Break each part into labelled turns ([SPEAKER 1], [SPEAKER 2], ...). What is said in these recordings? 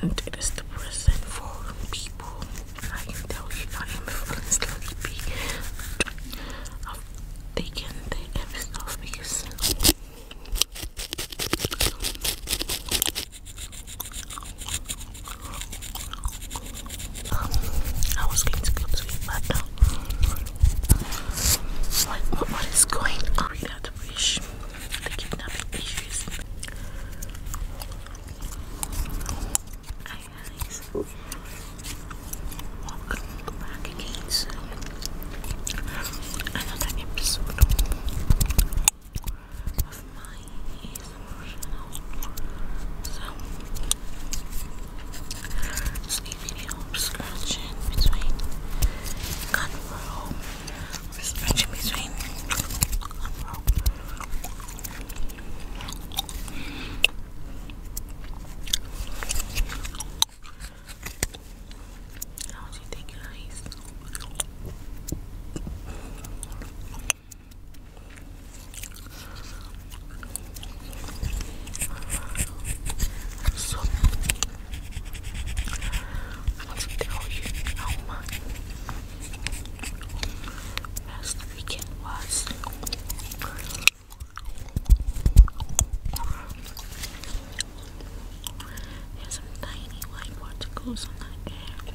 [SPEAKER 1] and it is the present for people. I can tell you, I am feeling sleepy. I've taken the episode um, I was going to go to it, but uh, what is going on? last wish. The kidnapping issues. Hi guys. Welcome back again to another episode of my ASMR So, video. I'm scratching between Conroe. i between Conroe. How do you think, guys? So I want to tell you how much last weekend was. There's some tiny white particles on the air.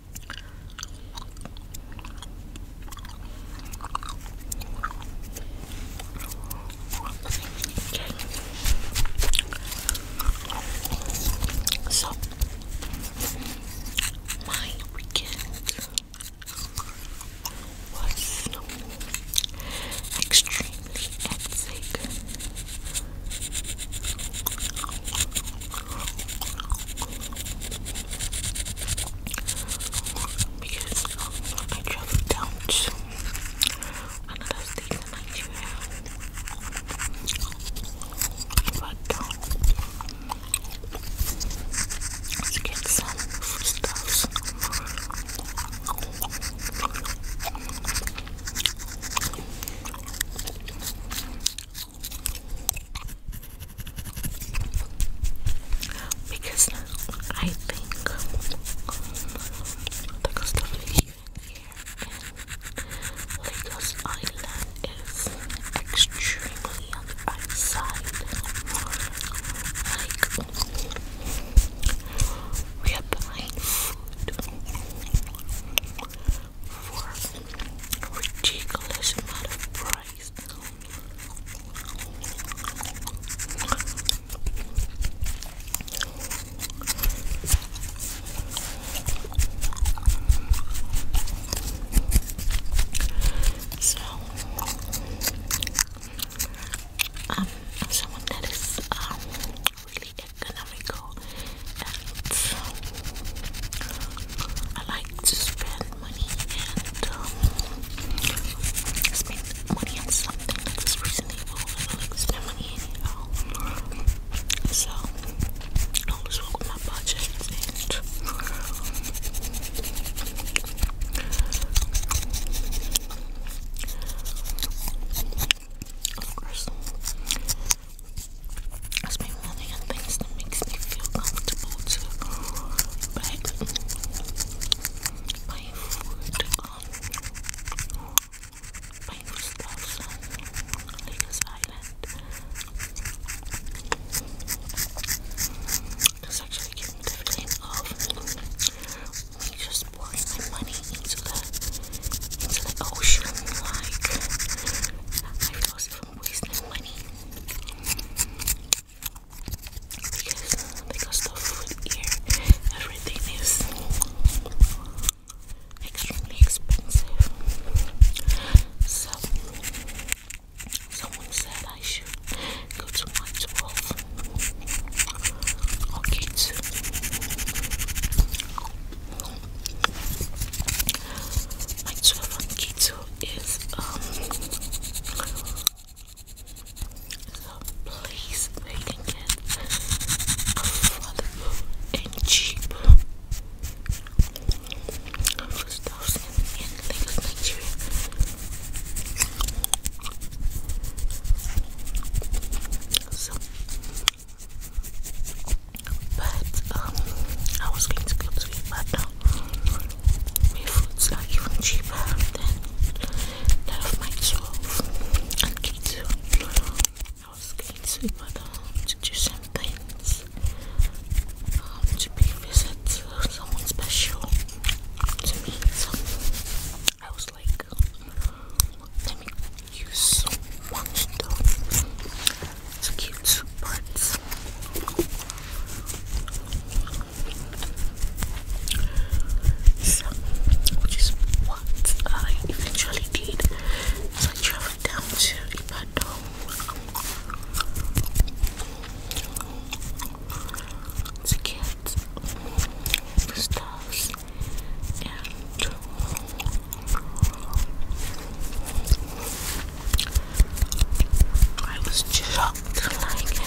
[SPEAKER 1] So my weekend was extremely hectic because I traveled down to another state in Nigeria. But down to get some foodstuffs. Because I think the cost of living here in Lagos Island is extremely on the high side. Like, we are buying food for ridiculous amount of price. So, um, I'm someone that is um, really economical and I like to spend money and um, spend money on something that's was recently to spend money anyhow. So, I always work with my budget of course, I spend money on things that makes me feel comfortable too, bag my food um, my stuff on Island. This actually gives me the just pouring my money into the into the ocean like I feel as waste money because, because the food here, everything is extremely expensive. So someone said I should go to my 12 so is um the place where you can get and cheap foodstuffs in, So but um, I was going to go to it, but now um, my food's are even cheaper than that of my 12 I was going to it, but um, to do some things, um, to visit someone special to me. So I was like, let me use one stuff. It's cute parts. So, which is what I eventually did. So I traveled down to Ibadan. To get the stuff and I was shocked, like,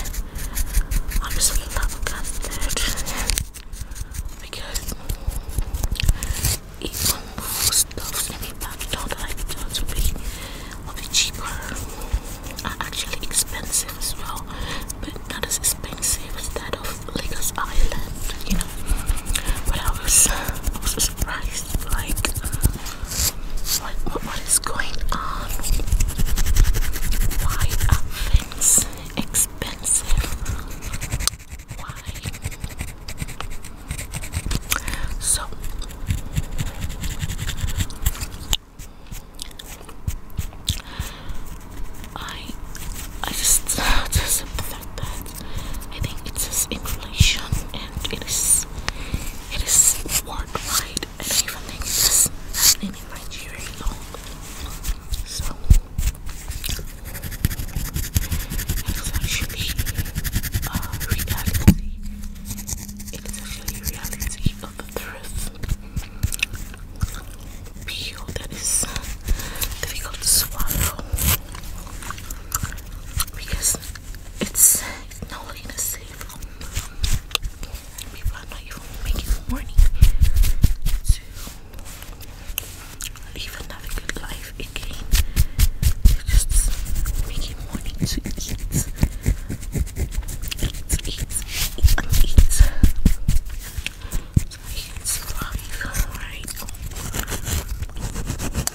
[SPEAKER 1] I just love custard because even food stuffs and people don't like to be, will be cheaper, uh, actually expensive as well, but not as expensive as that of Lagos Island, you know but I was, I was surprised, like, like what is going on? Why are things expensive? Why? So, I, I just, just that. I think it says inflation and it is it is worldwide. I even in Nigeria So it is actually uh, reality. It is actually reality of the truth. Peel that is difficult swallow because it's, not looking safe. People are not even making money to live another good life again. just making money to eat, eat, eat, eat, and eat, so they can survive. Alright.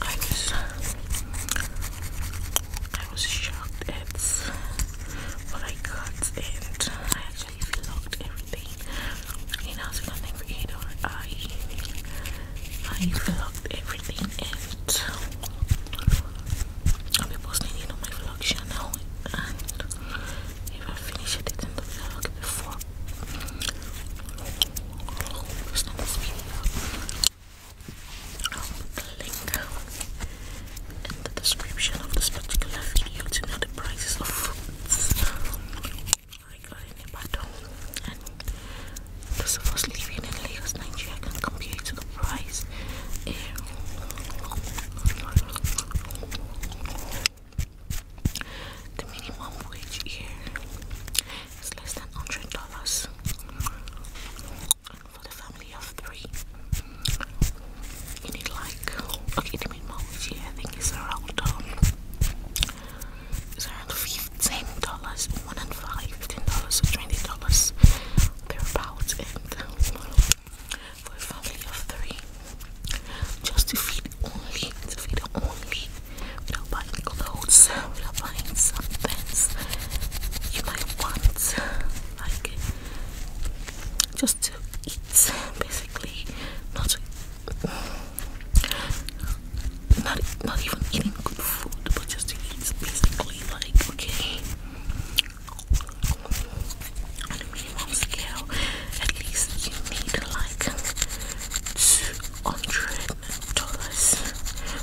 [SPEAKER 1] I was I was shocked at what I got and I actually vlogged everything. You know, I was a content creator. I I vlogged everything and I'll be posting it on my vlog channel and if I finish it in the vlog before not this video I'll put the link in the description of this particular video to know the prices of foods I got in Ibadan and because I was living in Lagos, Nigeria, I can compare the price the minimum wage here it's less than hundred dollars for the family of three. You need like okay, minimum here I think is around um, around fifteen dollars, one and five, fifteen dollars twenty dollars thereabouts, and for a family of three, just to feed only, to feed only we without buying clothes, We're buying some things you might want, like just to eat, basically, not not even eating good food, but just to eat, basically, like okay, on a minimum scale, at least you need like two hundred dollars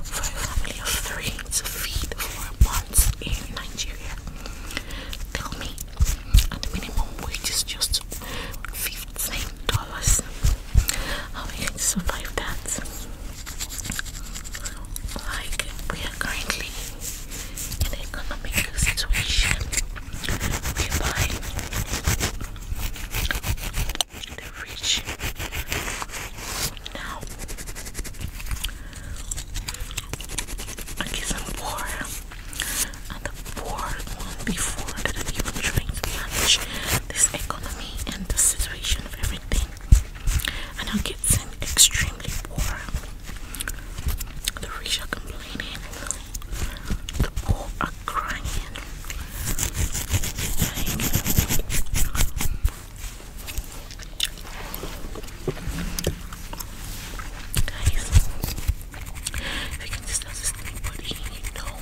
[SPEAKER 1] for a family of three to feed for months in Nigeria. Tell me, at the minimum wage is just fifteen dollars. How are you going to survive that? Like we are currently in an economic situation whereby the fridge. Now, I get some water, and the poor one before that I'm even trying to manage this economy and the situation of everything. And I'm getting extremely poor. The rich are complaining, the poor are crying. Guys, if you can just notice anybody you know,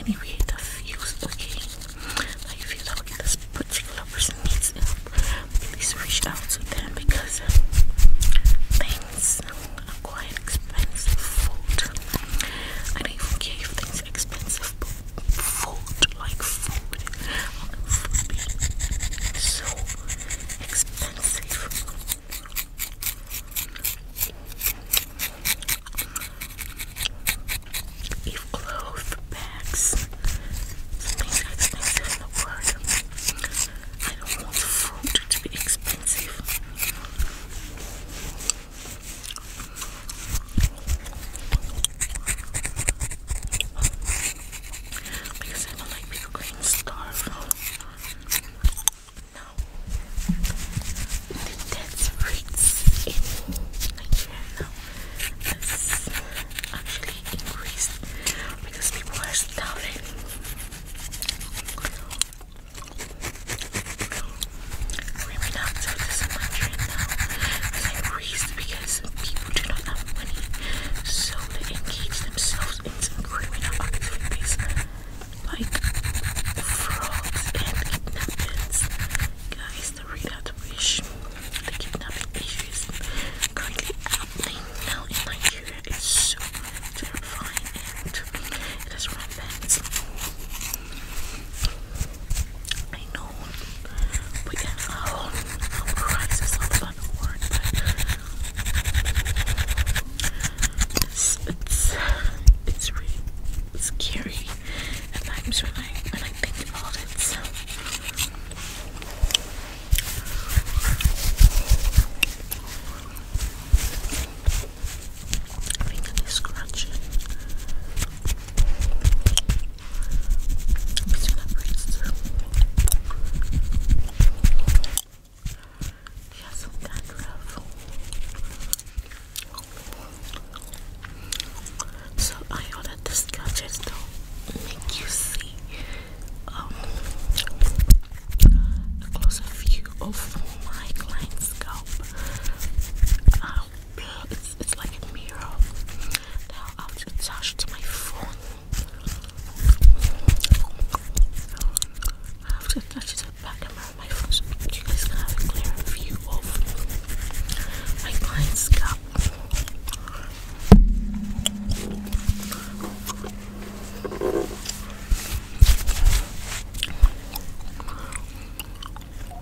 [SPEAKER 1] any creative views, okay? Like if you know this particular person needs help, please reach out to them because um, things are quite expensive. I even care if expensive, but fold, like food would be so expensive. If clothes bags, things are expensive in the world. I don't want food to be expensive. Because I am not like people getting No. The death rates in Nigeria has actually increased because people are starving. We may this much now as I raised because people do not have money, so they engage themselves into criminal activities like frauds and kidnappings. Guys, the readout wish the kidnapping issues currently happening now in Nigeria is so terrifying and it is rampant. I know we have a whole new crisis all it's, it's, it's really scary And times when I, when I think about it. So. Fingerly scratching. Between our braids too. She has some dandruff. So I ordered this gadget to make you see a um, closer view of my client's scalp. Uh, it's like a mirror. Now I have to attach to my phone. I have to attach it to the back camera of my phone so you guys can have a clear view of my client's scalp. That's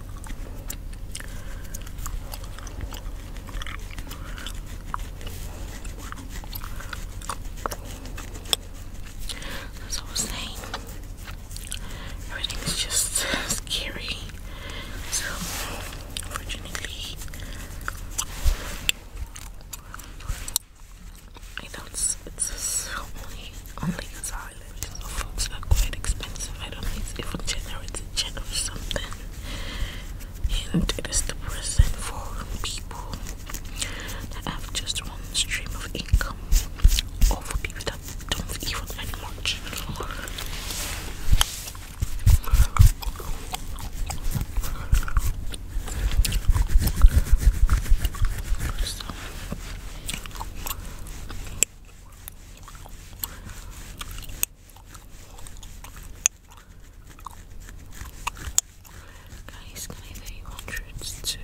[SPEAKER 1] As I was saying, everything's just scary. So, unfortunately, I know it's, only, only because eyelashes are quite expensive. I don't know if it generates a gen or something. And it is depressing for people that have just one stream of income or people that don't even earn much Guys, can I get you too?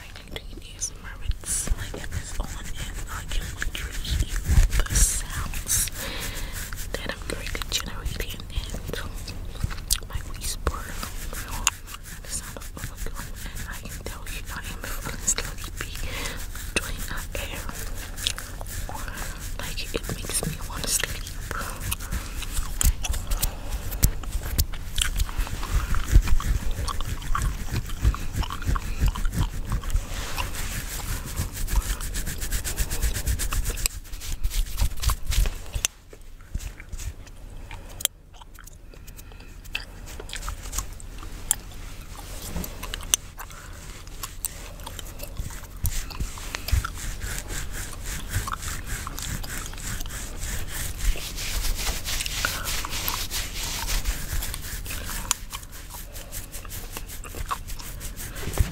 [SPEAKER 1] I'm doing ASMR with like it's on and I can literally hear the sounds that I'm currently generating and my whisper the sound of overcome I tell you I am feeling sleepy doing that air like it makes me want to sleep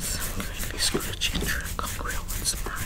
[SPEAKER 1] some crispy screw ginger congruence.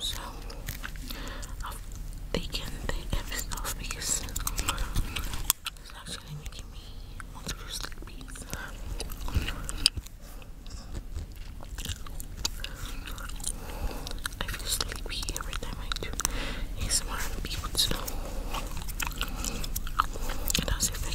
[SPEAKER 1] So I've taken the episode off because it's actually making me want to go I feel sleepy every time I do ASMR on people to know. It does affect